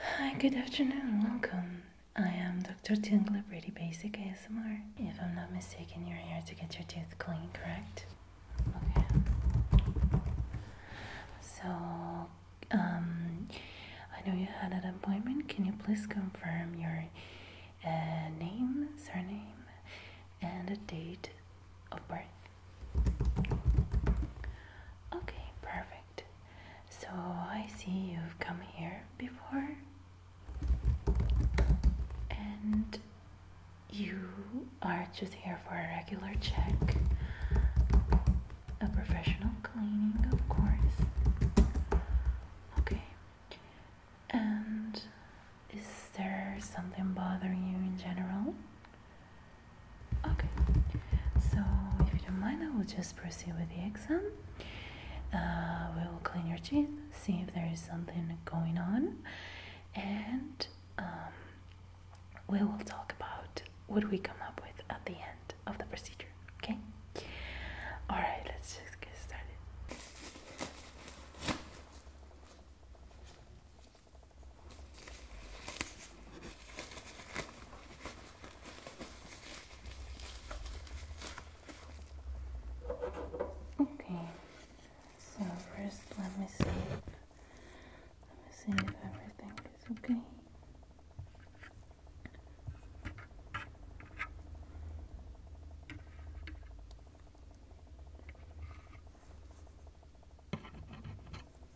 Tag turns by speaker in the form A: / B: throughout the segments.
A: Hi, good afternoon, welcome. I am Dr. Tingler, pretty basic ASMR. If I'm not mistaken, you're here to get your teeth clean, correct? Okay. So, um, I know you had an appointment. Can you please confirm your uh, name, surname, and the date of birth? Okay, perfect. So I see you've come here before and you are just here for a regular check, a professional cleaning, of course. Okay. And is there something bothering you in general? Okay, so if you don't mind, I will just proceed with the exam. Uh, we will clean your teeth, see if there is something going on, and um, we will talk about what we come up with at the end of the procedure. Okay? Alright, let's just get started. Okay, so first let me see. Let me see if everything is okay.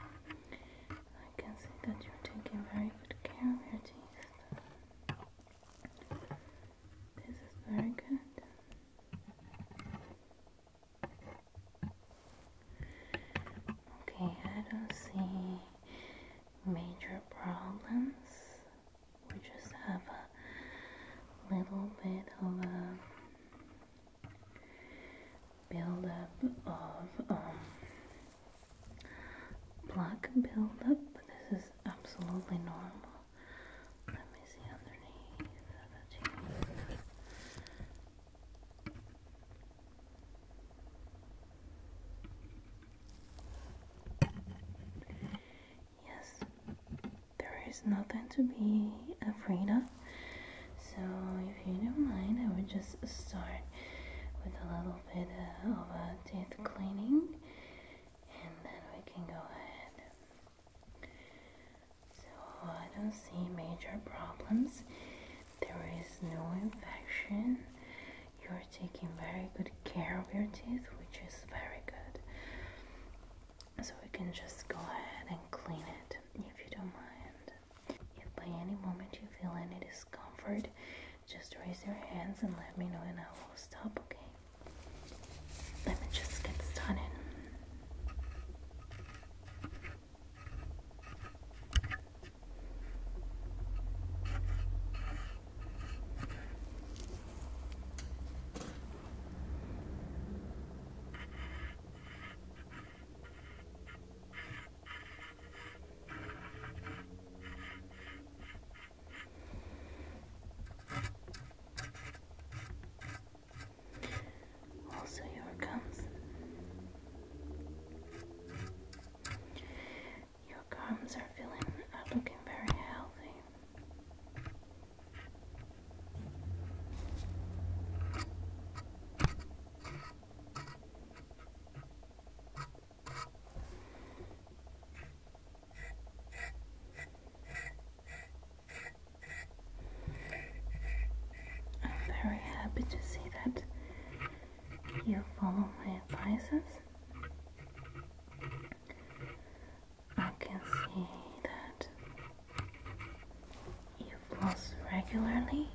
A: I can see that you're taking very good care of your teeth. This is very good. Okay, I don't see major problems. We just have a little bit of a buildup of um, black buildup, but this is absolutely normal. Let me see underneath Yes, there is nothing to be afraid of. So, if you don't mind, I would just start with a little bit of a teeth cleaning and then we can go ahead. So, I don't see major problems. There is no infection. You're taking very good care of your teeth, which is very good. So we can just go ahead and clean it if you don't mind. If by any moment you feel any discomfort, just raise your hands and let me know and I will stop, okay? Let me just get started. Also, here it Your gums are feeling, are uh, looking very healthy. I'm very happy to see that you follow my advices. I can see that you floss regularly.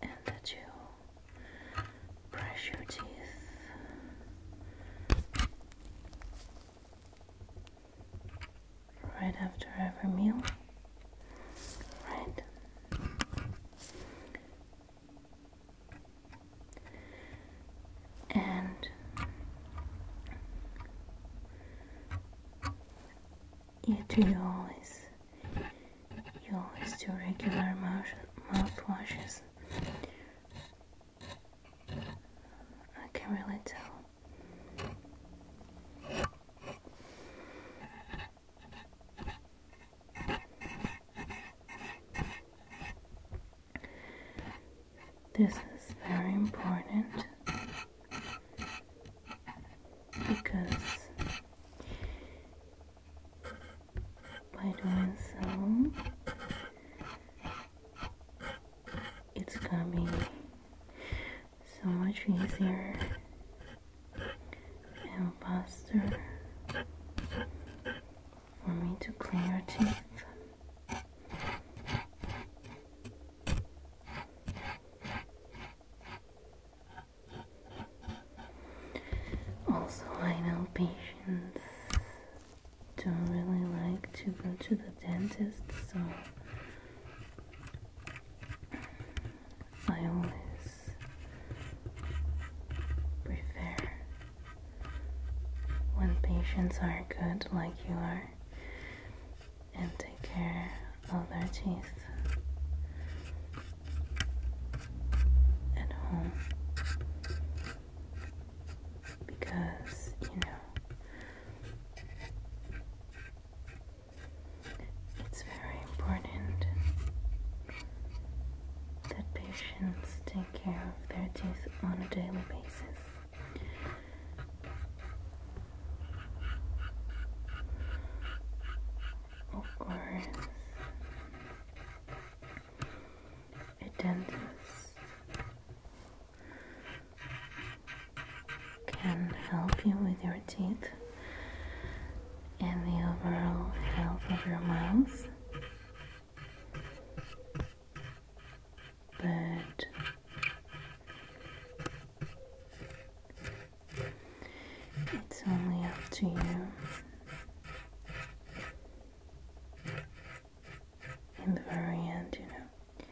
A: And that you brush your teeth right after every meal, right? And you do you always you always do regular mouth mouthwashes. I can really tell. This is very important because by doing so, it's gonna be so much easier and faster for me to clean your teeth. Also, I know patients don't really like to go to the dentist, so I always prefer when patients are good like you are and take care of their teeth at home because you know it's very important that patients take care of their teeth on a daily basis. Of a dentist can help you with your teeth and the overall health of your mouth but it's only up to you. In the very end, you know.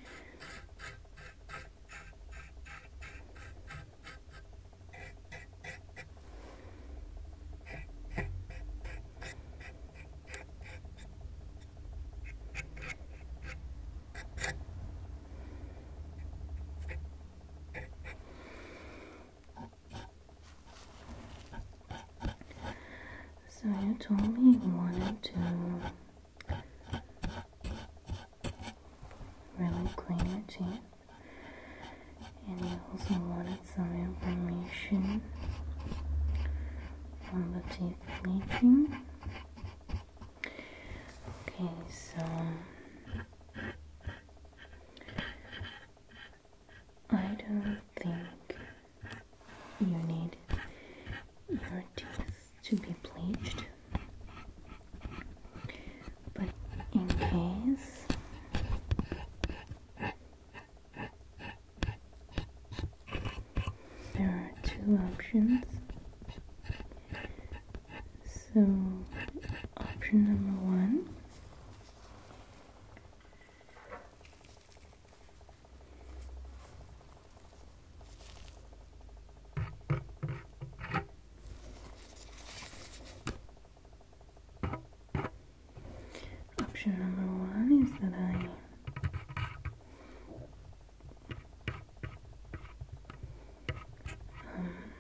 A: So you told me you wanted to really clean your teeth and I also wanted some information on the teeth bleaching. Okay, so I don't think you need your teeth to be bleached, but in case there are two options. So, option number one Option number one is that I um,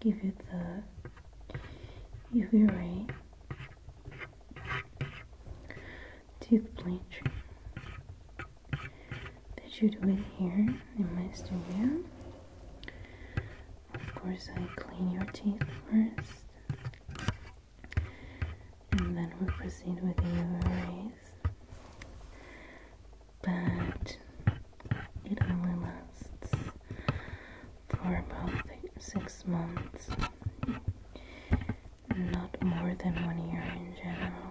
A: give it the UV ray teeth bleach that you do it here in my studio of course, I clean your teeth first, and then we proceed with the erase. But it only lasts for about six months, not more than one year in general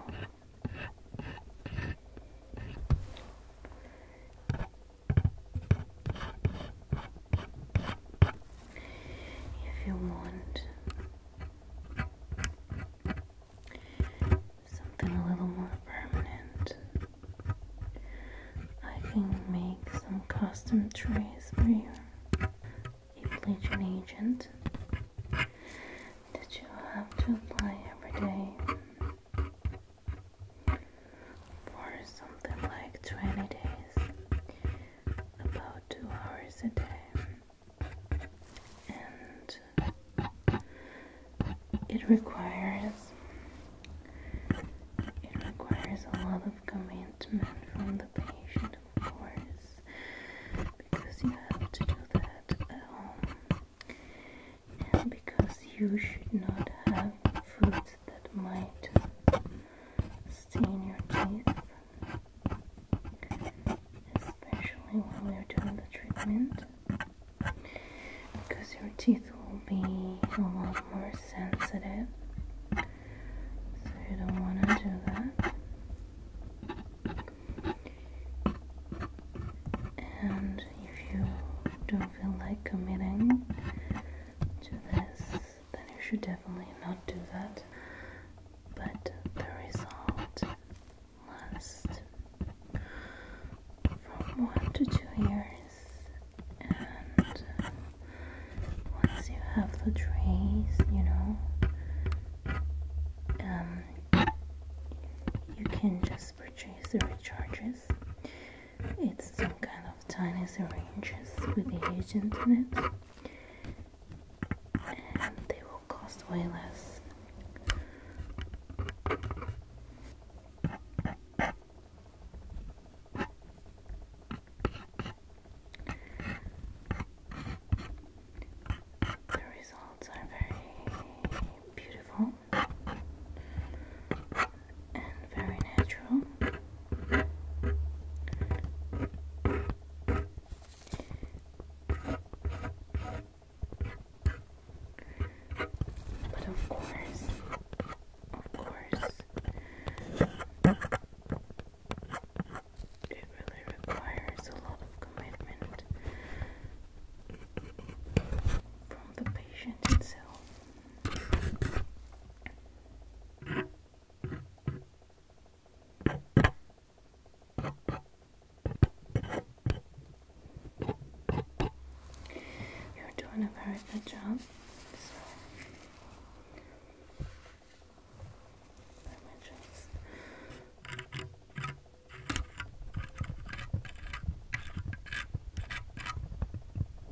A: if you want something a little more permanent, I can make some custom trays for you. A agent that you have to apply every day for something like 20 days, about 2 hours a day, and it requires it requires a lot of commitment from the patient, of course, because you have to do that at home, and because you should not have food that might stain your teeth, especially while we are doing the treatment, because your teeth will be a lot more sensitive. So you don't want to do that. And if you don't feel like committing to this, then you should definitely not do that. But the result lasts from one to two years, and once you have the trees, you know, um, you can just purchase the recharges. It's some kind of tiny syringes with the agent in it. And they will cost way less. The results are very beautiful and very natural. But of course, of course, it really requires a lot of commitment from the patient itself. You're doing a very good job.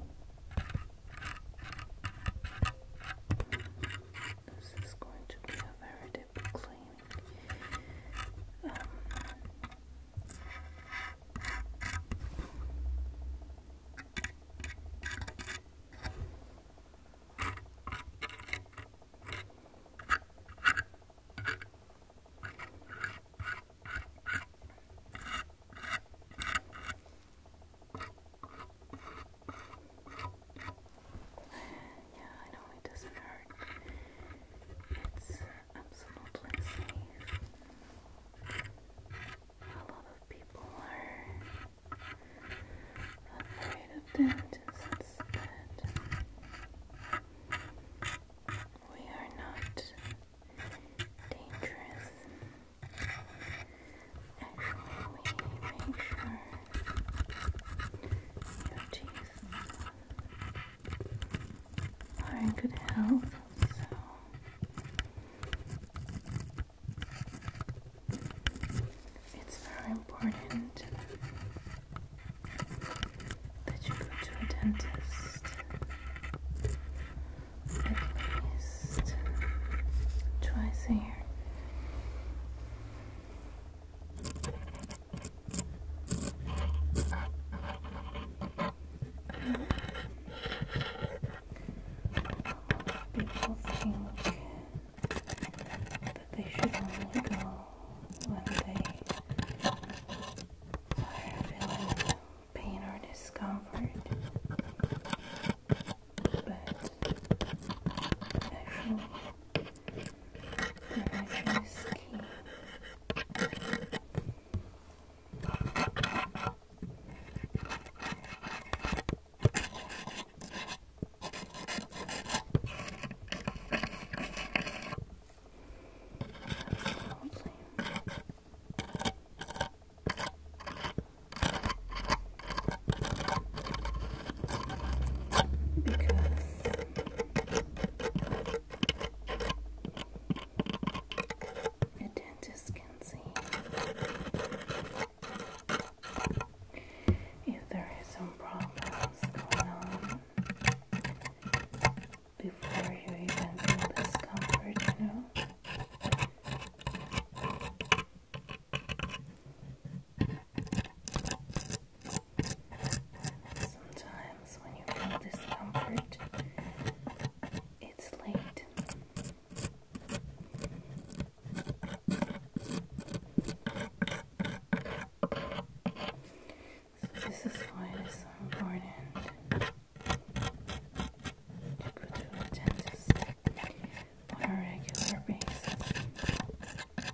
A: This is going to be a very difficult claim. Yeah, I know it doesn't hurt. It's absolutely safe. A lot of people are afraid of dentists instead. We are not dangerous. Actually, we make sure your teeth are in good health, so. It's very important that you go to a dentist at least twice a year. People think that they should only go when they are feeling pain or discomfort, but actually, prevention is key. Absolutely. Because a dentist can see if there is some problems going on before you even feel discomfort, you know? Sometimes when you feel discomfort, it's late. So, this is why it is important to a dentist on a regular basis. Absolutely.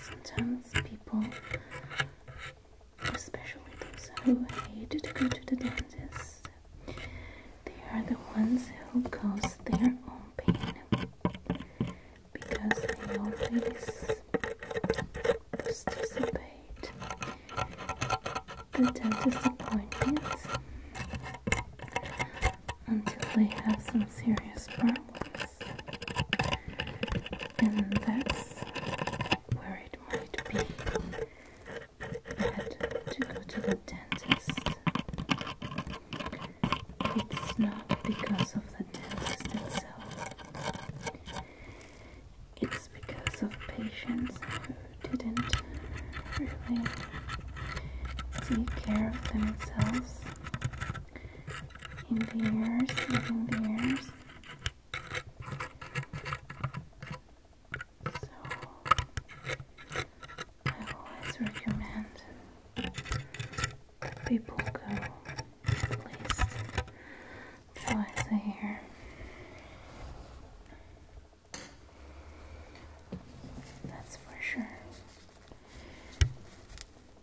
A: Sometimes people, especially those who hate to go to the dentist, they are the ones who cause their own pain because they always participate the dentist appointments until they have some serious problems and that's where it might be bad to go to the dentist. It's not because of the dentist itself, it's because of patients who didn't really take care of themselves in the ears, in the ears. So I always recommend people go at least twice a year. That's for sure now I'm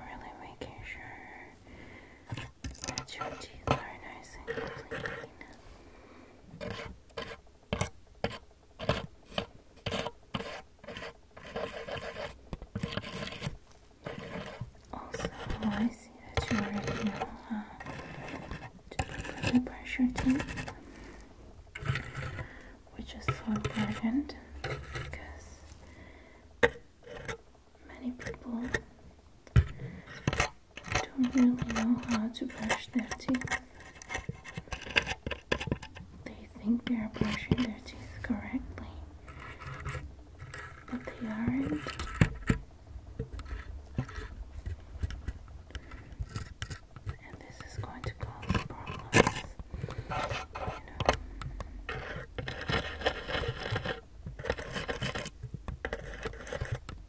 A: really making sure that your teeth are nice and clean. Also, oh, I see that you already know the pressure tea, which is important because many people don't really know how to brush their teeth. They think they are brushing their teeth correctly, but they aren't. And this is going to cause problems. You know. That's very good.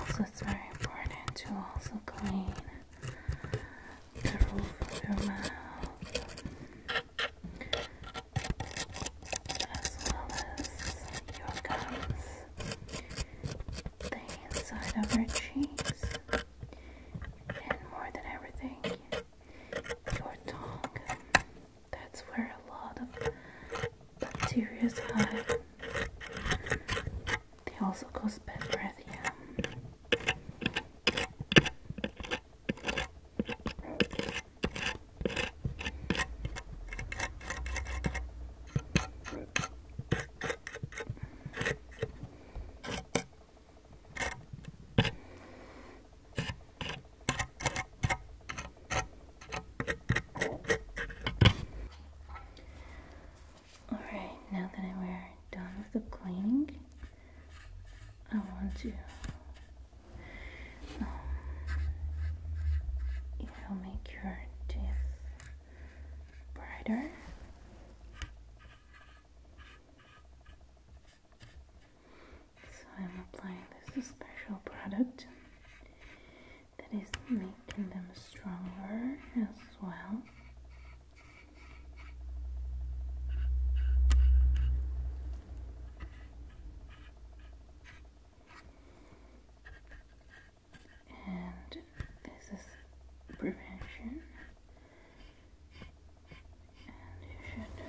A: Also, it's very important to also clean the roof of your mouth as well as your gums, the inside of your cheeks, and more than everything, your tongue. That's where a lot of bacteria hide. They also cause bad breath. Yeah. All right, now that we're done with the cleaning, I want to um, it will make your teeth brighter. So I'm applying this special product that is making them stronger as well. And this is prevention. And you should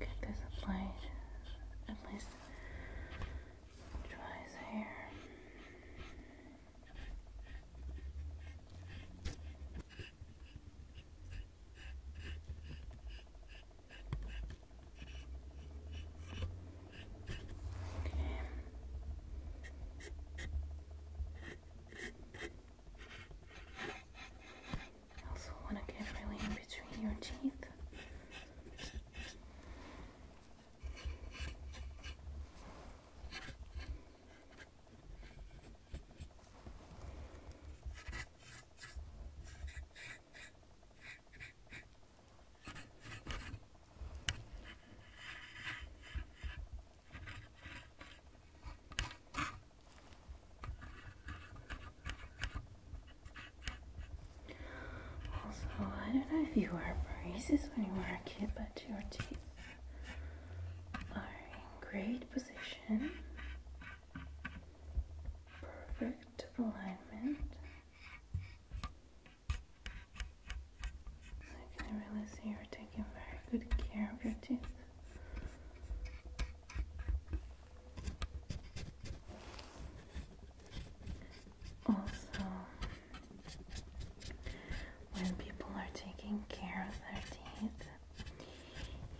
A: get this applied at least twice here. I also want to get really in between your teeth. Also, I don't know if you wear braces when you were a kid, but your teeth are in great position, perfect alignment. I can really see you're taking very good care of your teeth. Also, when people are taking care of their teeth,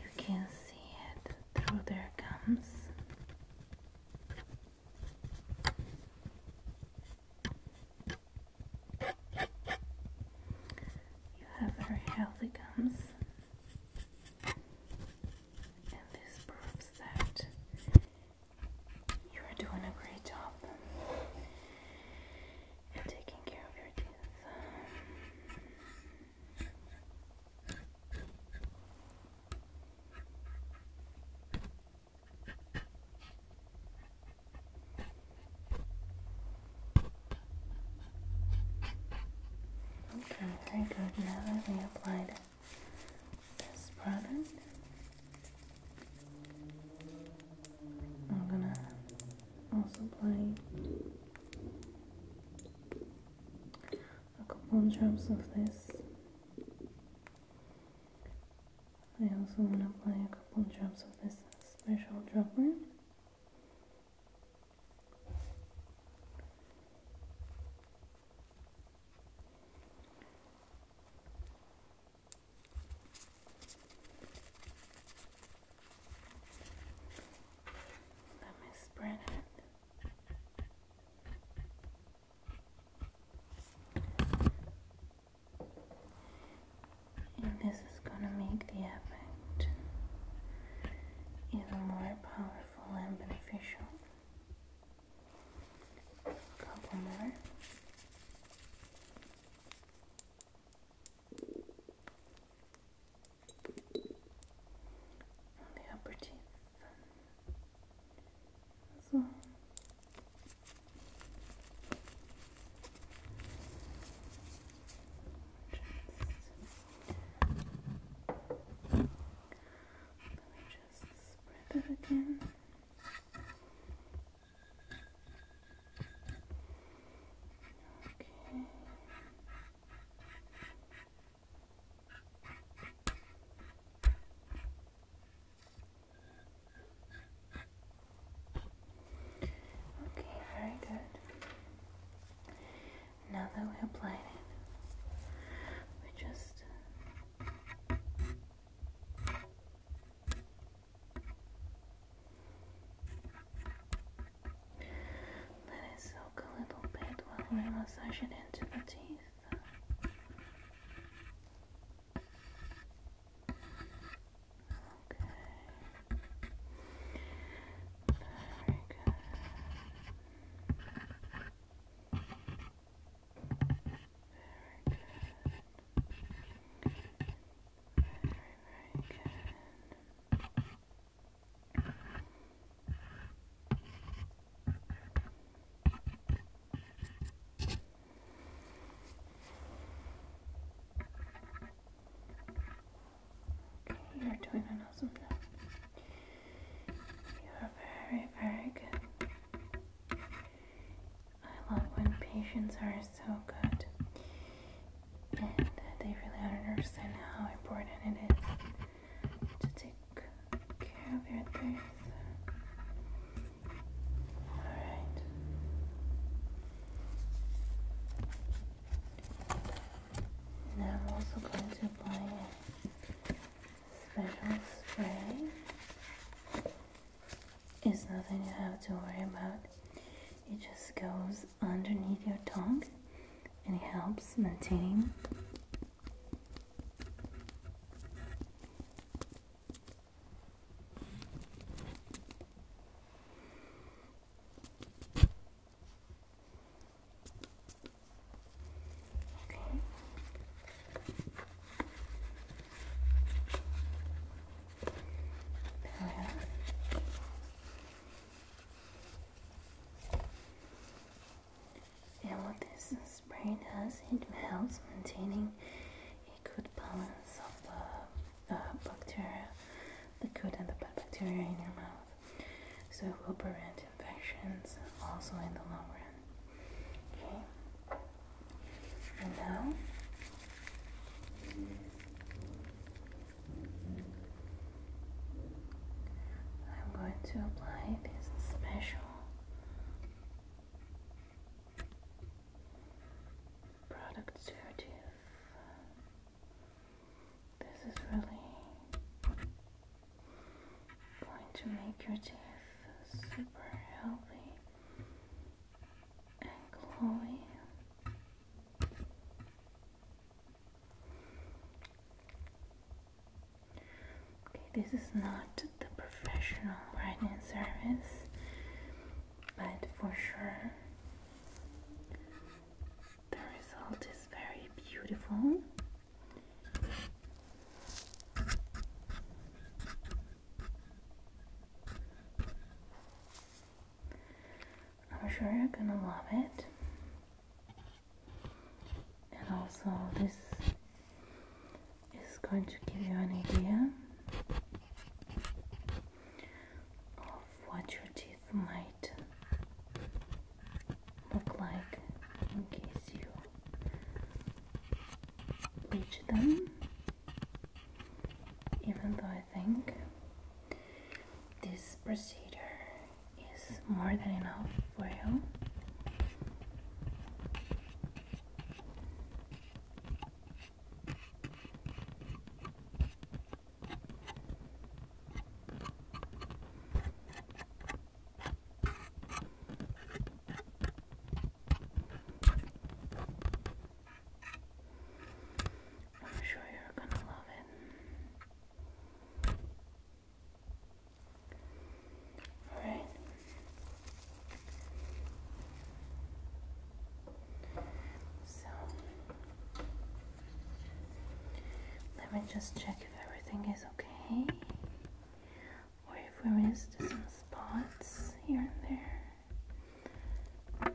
A: you can see it through their gums. You have very healthy gums, and this proves that you are doing a great job. Okay, very good. Now that we applied this product, I'm gonna also apply a couple drops of this. I also want to apply a couple drops of this special dropper. Let me spread And this is gonna make the effect even more powerful and beneficial. A couple more on the upper teeth. So. Just, let me just spread it again. Okay. Okay, very good. Now that we applied it, we just let it soak a little bit while we massage it into the teeth. Okay. Very good. Very good. Very, very good. Okay, you're doing an awesome job. You're very, very good. I love when patients are so good and they really understand how important it is to take care of your teeth. Alright. Now I'm also going to apply a special spray. It's nothing you have to worry about. It just goes underneath your tongue and it helps maintain Okay. And what this spray does, it helps maintaining a good balance of the bacteria, the good and the bad bacteria in your mouth. So it will prevent infections also in the long run. Okay. And now I'm going to apply this special product sedative. This is really going to make your teeth super healthy and glowy. Okay, this is not the professional writing service, but for sure the result is very beautiful. I'm sure you're gonna love it. And also, this is going to give you an idea of what your teeth might look like in case you bleach them even though I think this procedure is more than enough for you. I'm sure you're gonna love it. Alright. So let me just check if everything is okay. Or if we missed some spots here and there.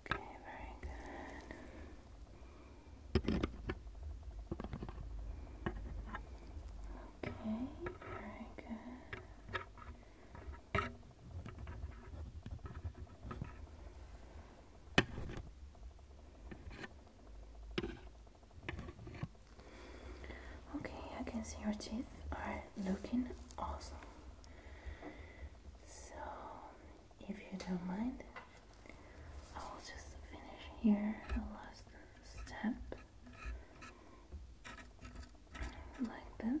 A: Okay, very good. Okay, very good. Okay, Okay, I can see your teeth are looking awesome. So, if you don't mind, I will just finish here the last step like this.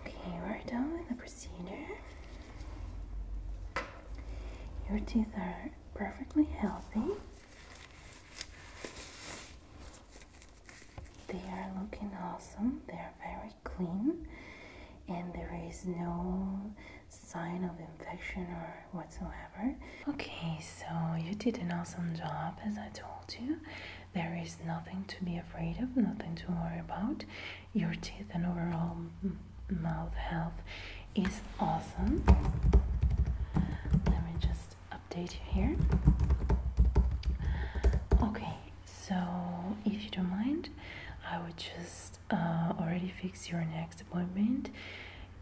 A: Okay, we're done with the procedure. Your teeth are perfectly healthy. They are looking awesome. They are very clean and there is no sign of infection or whatsoever. Okay, so you did an awesome job, as I told you. There is nothing to be afraid of, nothing to worry about. Your teeth and overall mouth health is awesome. Let me just update you here. Okay, so if you don't mind, I would just uh, already fix your next appointment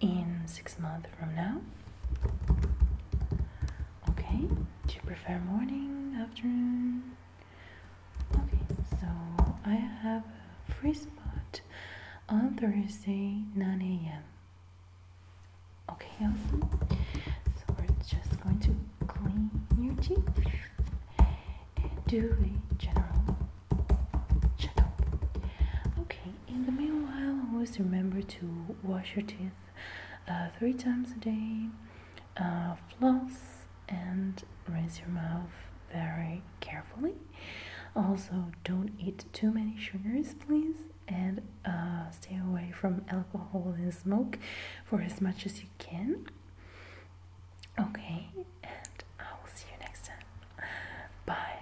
A: in six months from now. Okay, do you prefer morning, afternoon? Okay, so I have a free spot on Thursday, 9 a.m. Okay, awesome. So we're just going to clean your teeth and do a general checkup. Okay, in the meanwhile, always remember to wash your teeth uh, three times a day, uh, floss, and rinse your mouth very carefully. Also, don't eat too many sugars, please, and uh, stay away from alcohol and smoke for as much as you can. Okay, and I will see you next time. Bye.